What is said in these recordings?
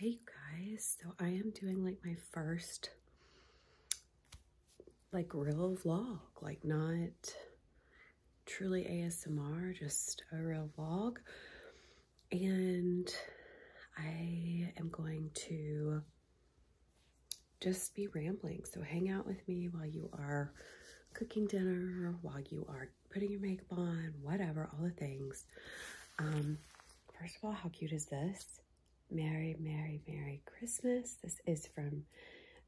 Hey guys, so I am doing like my first like real vlog, like not truly ASMR, just a real vlog. And I am going to just be rambling. So hang out with me while you are cooking dinner, while you are putting your makeup on, whatever, all the things. Um, First of all, how cute is this? Merry, Merry, Merry Christmas. This is from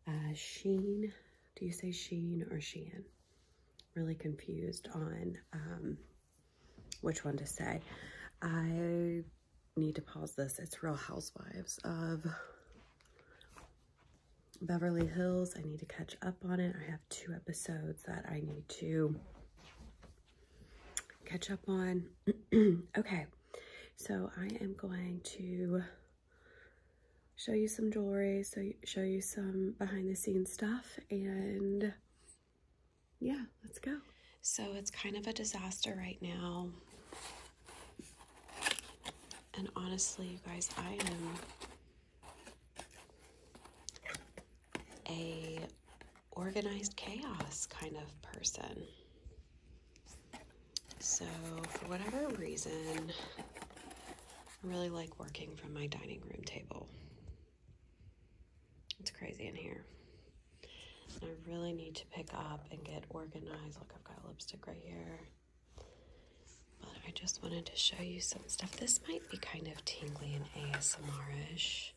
uh, Sheen. Do you say Sheen or Sheehan? Really confused on um, which one to say. I need to pause this. It's Real Housewives of Beverly Hills. I need to catch up on it. I have two episodes that I need to catch up on. okay, so I am going to show you some jewelry, so show you some behind the scenes stuff, and yeah, let's go. So it's kind of a disaster right now. And honestly, you guys, I am a organized chaos kind of person. So, for whatever reason, I really like working from my dining room table. It's crazy in here. I really need to pick up and get organized. Look, I've got lipstick right here. But I just wanted to show you some stuff. This might be kind of tingly and ASMR-ish.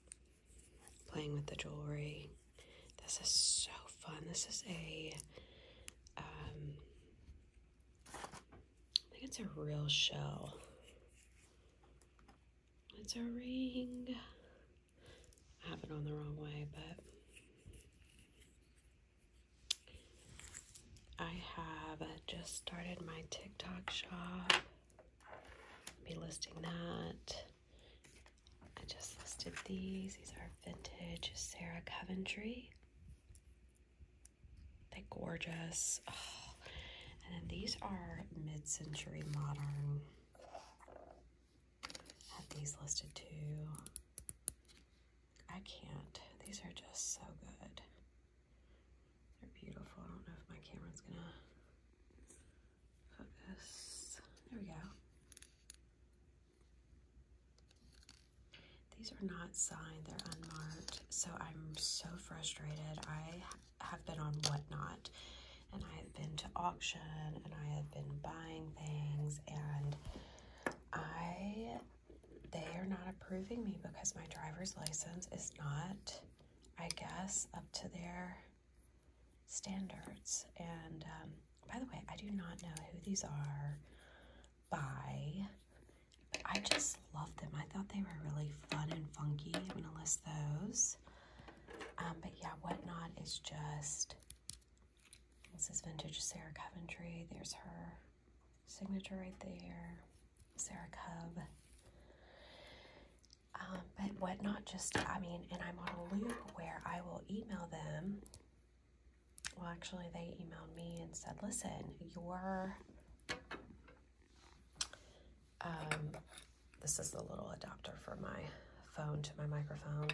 Playing with the jewelry. This is so fun. This is a, um, think it's a real shell. It's a ring. I have it on the wrong way, but I have just started my TikTok shop. I'll be listing that. I just listed these. These are vintage Sarah Coventry. They're gorgeous. Oh, and then these are mid-century modern. I have these listed too. I can't. These are just so good. They're beautiful. I don't know if my camera's gonna focus. There we go. These are not signed, they're unmarked. So I'm so frustrated. I have been on Whatnot and I have been to auction and I have been buying things and I, they are not approving me because my driver's license is not I guess, up to their standards. And um, by the way, I do not know who these are by, I just love them. I thought they were really fun and funky. I'm going to list those. Um, but yeah, Whatnot is just, this is vintage Sarah Coventry. There's her signature right there. Sarah Cub. Um, but whatnot? just, I mean, and I'm on a loop where I will email them. Well, actually, they emailed me and said, listen, your, um, this is the little adapter for my phone to my microphone.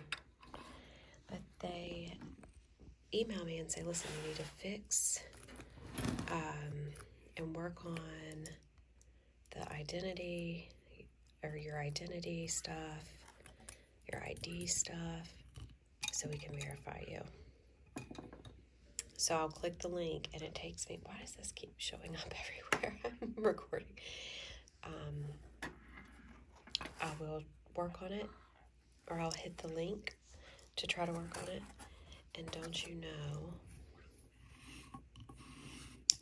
But they email me and say, listen, you need to fix, um, and work on the identity or your identity stuff, your ID stuff, so we can verify you. So I'll click the link and it takes me. Why does this keep showing up everywhere? I'm recording. Um, I will work on it or I'll hit the link to try to work on it. And don't you know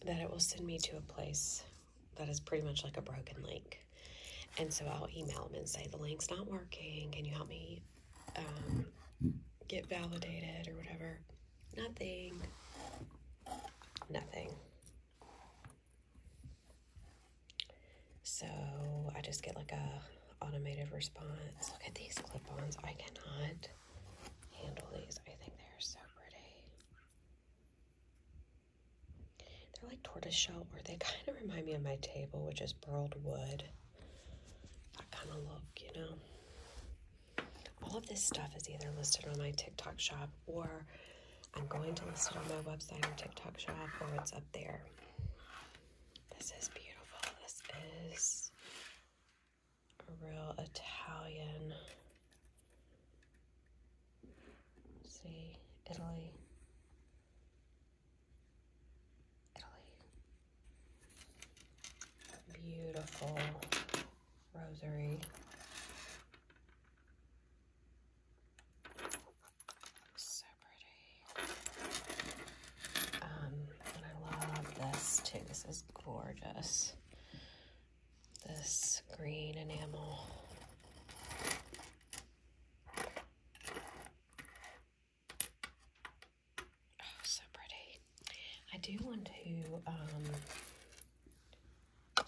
that it will send me to a place that is pretty much like a broken link. And so I'll email them and say, the link's not working. Can you help me um, get validated or whatever? Nothing. Nothing. So I just get like a automated response. Look at these clip-ons. I cannot handle these. I think they're so pretty. They're like tortoise shell, or they kind of remind me of my table, which is burled wood. That kind of look, you know? All of this stuff is either listed on my TikTok shop, or I'm going to list it on my website or TikTok shop, or it's up there. This is beautiful. This is a real Italian. See, Italy. Italy. Beautiful rosary. So pretty. Um, and I love this too. This is gorgeous. This green enamel. Oh, so pretty. I do want to um,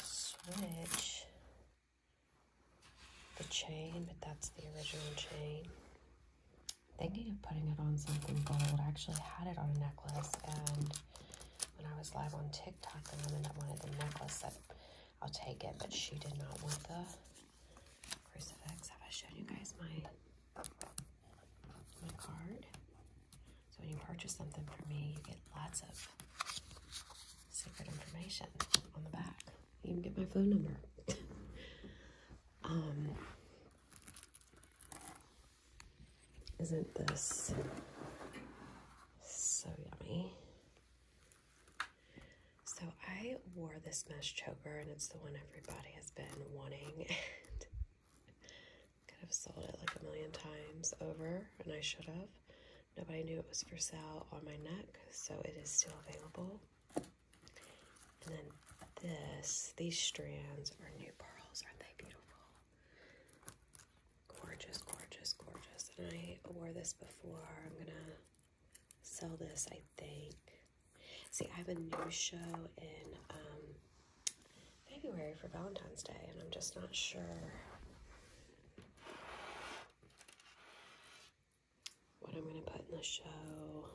switch the chain, but that's the original chain thinking of putting it on something gold. I actually had it on a necklace, and when I was live on TikTok, the woman that wanted the necklace said, I'll take it, but she did not want the crucifix. Have I shown you guys my, my card? So when you purchase something from me, you get lots of secret information on the back. You can get my phone number. um, isn't this so yummy? So I wore this mesh choker and it's the one everybody has been wanting and could have sold it like a million times over and I should have. Nobody knew it was for sale on my neck, so it is still available. And then this, these strands are new pearls. Aren't they beautiful? Gorgeous, gorgeous, gorgeous. And I wore this before. I'm going to sell this, I think. See, I have a new show in um, February for Valentine's Day, and I'm just not sure what I'm going to put in the show.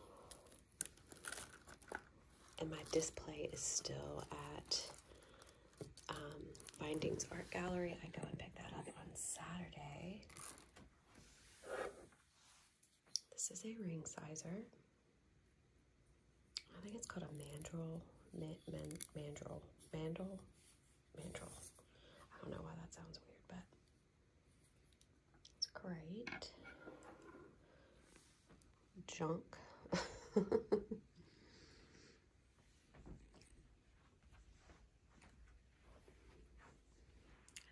And my display is still at um, Findings Art Gallery. I go and pick that up on Saturday. This is a ring sizer. I think it's called a mandrel. Man, man, mandrel. Mandrel? Mandrel. I don't know why that sounds weird, but it's great. Junk.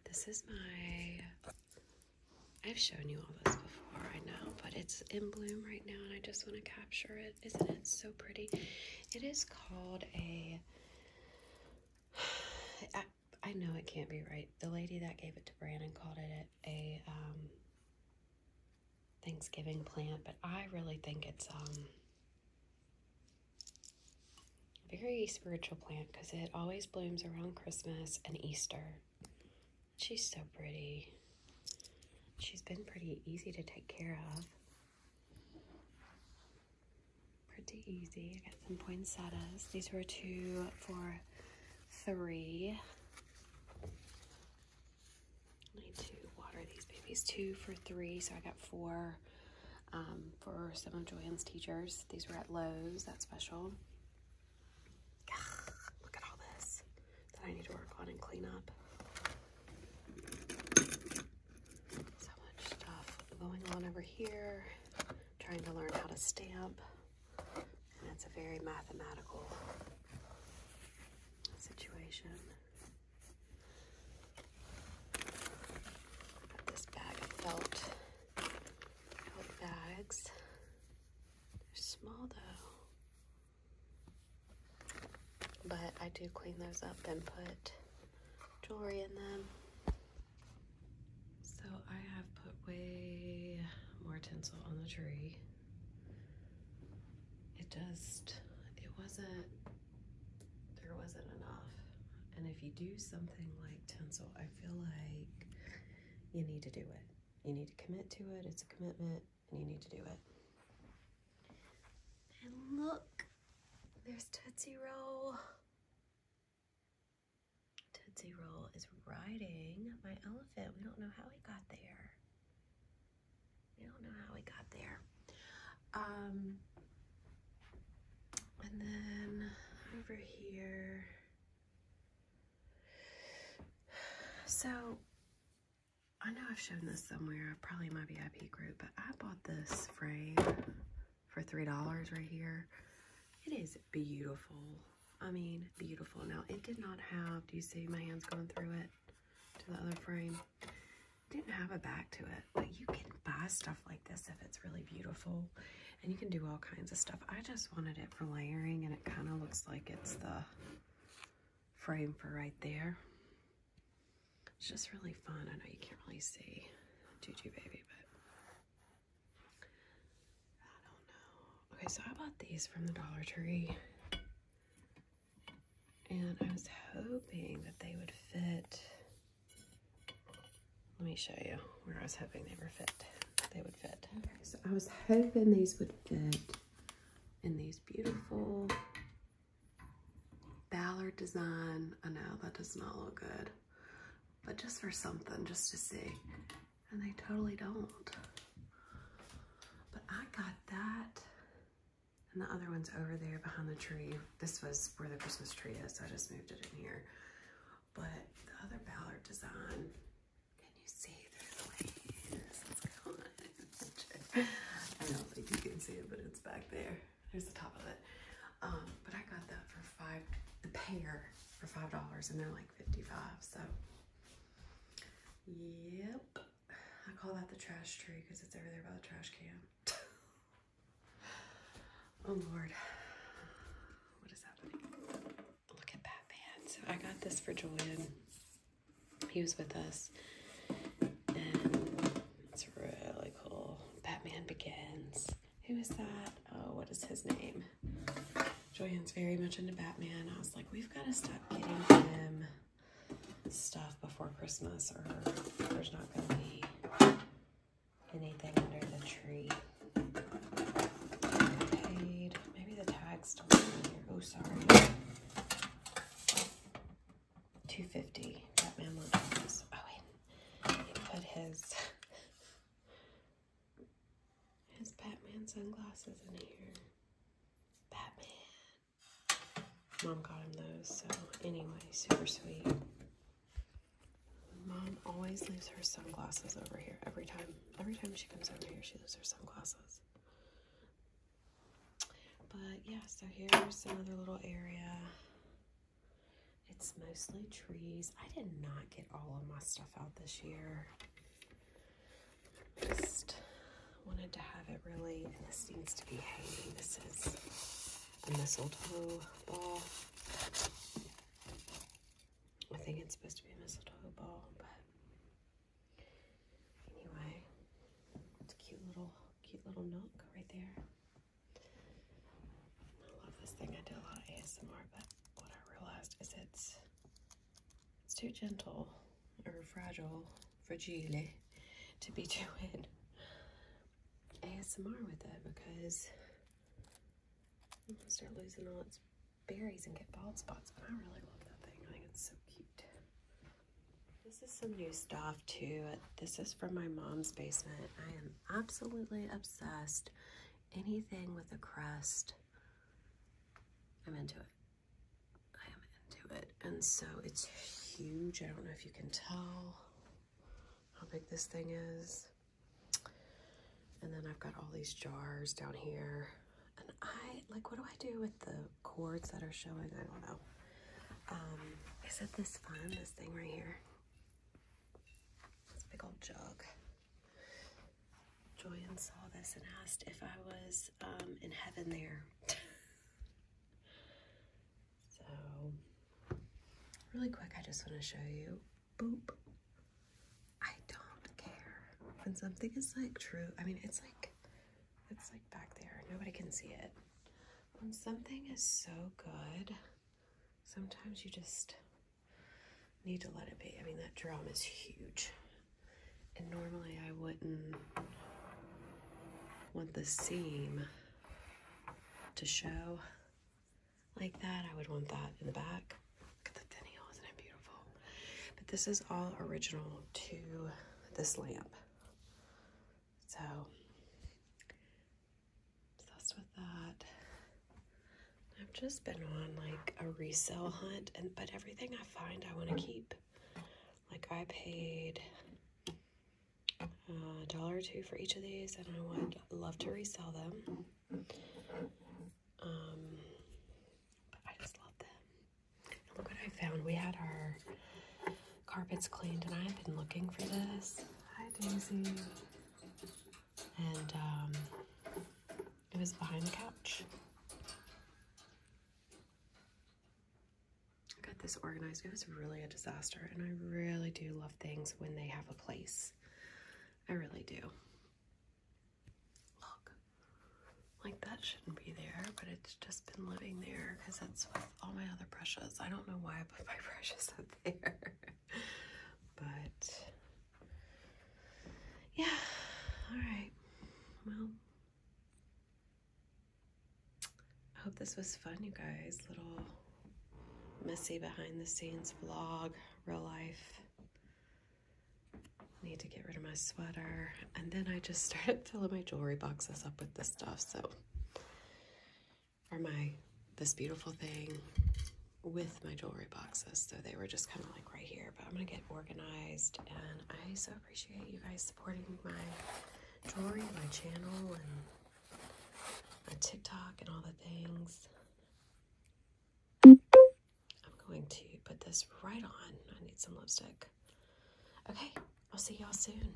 this is my I've shown you all this before, I know, but it's in bloom right now and I just want to capture it. Isn't it so pretty? It is called a, I know it can't be right. The lady that gave it to Brandon called it a um, Thanksgiving plant, but I really think it's a um, very spiritual plant because it always blooms around Christmas and Easter. She's so pretty. She's been pretty easy to take care of. Pretty easy. I got some poinsettias. These were two for three. need to water these babies. Two for three, so I got four um, for some of Joanne's teachers. These were at Lowe's, that's special. Look at all this that I need to work on and clean up. So much stuff going on over here trying to learn how to stamp. And it's a very mathematical situation. this bag of felt bags. They're small though. But I do clean those up and put jewelry in them. So I have put way more tinsel on the tree. It just, it wasn't, there wasn't enough. And if you do something like tinsel, I feel like you need to do it. You need to commit to it. It's a commitment and you need to do it. And look, there's Tootsie Roll. Tootsie Roll is riding my elephant. We don't know how he got there. We don't know how he got there. Um, and then over here. So I know I've shown this somewhere, probably my VIP group, but I bought this frame for $3 right here. It is beautiful. I mean, beautiful. Now, it did not have, do you see my hands going through it to the other frame? didn't have a back to it, but you can buy stuff like this if it's really beautiful and you can do all kinds of stuff. I just wanted it for layering and it kind of looks like it's the frame for right there. It's just really fun. I know you can't really see Juju Baby, but Okay, so I bought these from the Dollar Tree. And I was hoping that they would fit. Let me show you where I was hoping they would fit. They would fit. Okay, so I was hoping these would fit in these beautiful Ballard design. I know that does not look good but just for something, just to see. And they totally don't. But I got that. And the other one's over there behind the tree. This was where the Christmas tree is. I just moved it in here. But the other Ballard design, can you see through the leaves? it I don't think you can see it, but it's back there. Here's the top of it. Um, but I got that for five, the pair for five dollars, and they're like fifty-five. So, yep. I call that the trash tree because it's over there by the trash can. oh Lord, what is happening? Look at Batman. So I got this for Julian. He was with us, and really cool. Batman Begins who is that? Oh, what is his name? Joanne's very much into Batman. I was like, we've got to stop getting him stuff before Christmas or there's not going to be anything under the tree. Paid. Maybe the tag's Oh, sorry. 250 Batman Legends. Oh, wait he put his his Batman sunglasses in here. Batman. Mom got him those, so anyway, super sweet. Mom always leaves her sunglasses over here every time. Every time she comes over here, she leaves her sunglasses. But yeah, so here's another little area. It's mostly trees. I did not get all of my stuff out this year. Just wanted to have it really, and this seems to be hanging. This is a mistletoe ball. I think it's supposed to be a mistletoe ball, but anyway, it's a cute little, cute little nook right there. I love this thing. I do a lot ASMR, but what I realized is it's it's too gentle or fragile, fragile, to be doing ASMR with it because I'm start losing all its berries and get bald spots. But I really love that thing. I think it's so cute. This is some new stuff too. This is from my mom's basement. I am absolutely obsessed. Anything with a crest, I'm into it. I am into it. And so it's huge. I don't know if you can tell how big this thing is. And then I've got all these jars down here. And I, like, what do I do with the cords that are showing? I don't know. Um, is it this fun, this thing right here? This big old jug. Joyan saw this and asked if I was um, in heaven there. so, really quick, I just want to show you. Boop. I don't care when something is like true. I mean, it's like, it's like back there. Nobody can see it. When something is so good, sometimes you just need to let it be. I mean, that drum is huge. And normally I wouldn't want the seam to show like that. I would want that in the back. Look at the finial, isn't it beautiful? But this is all original to this lamp. So Obsessed with that. I've just been on like a resale hunt, and but everything I find I want to keep. Like I paid uh, a dollar or two for each of these, and I would love to resell them. Um, but I just love them. look what I found. We had our carpet's cleaned, and I've been looking for this. Hi, Daisy. And um, it was behind the couch. I got this organized. It was really a disaster, and I really do love things when they have a place. I really do. Look, like that shouldn't be there, but it's just been living there because that's what all my other brushes. I don't know why I put my brushes up there. but yeah, all right. Well, I hope this was fun, you guys. Little messy behind the scenes vlog, real life. Need to get rid of my sweater. And then I just started filling my jewelry boxes up with this stuff. So or my This Beautiful Thing with my jewelry boxes. So they were just kind of like right here, but I'm going to get organized. And I so appreciate you guys supporting my jewelry, my channel, and my TikTok and all the things. I'm going to put this right on. I need some lipstick. Okay, I'll see y'all soon.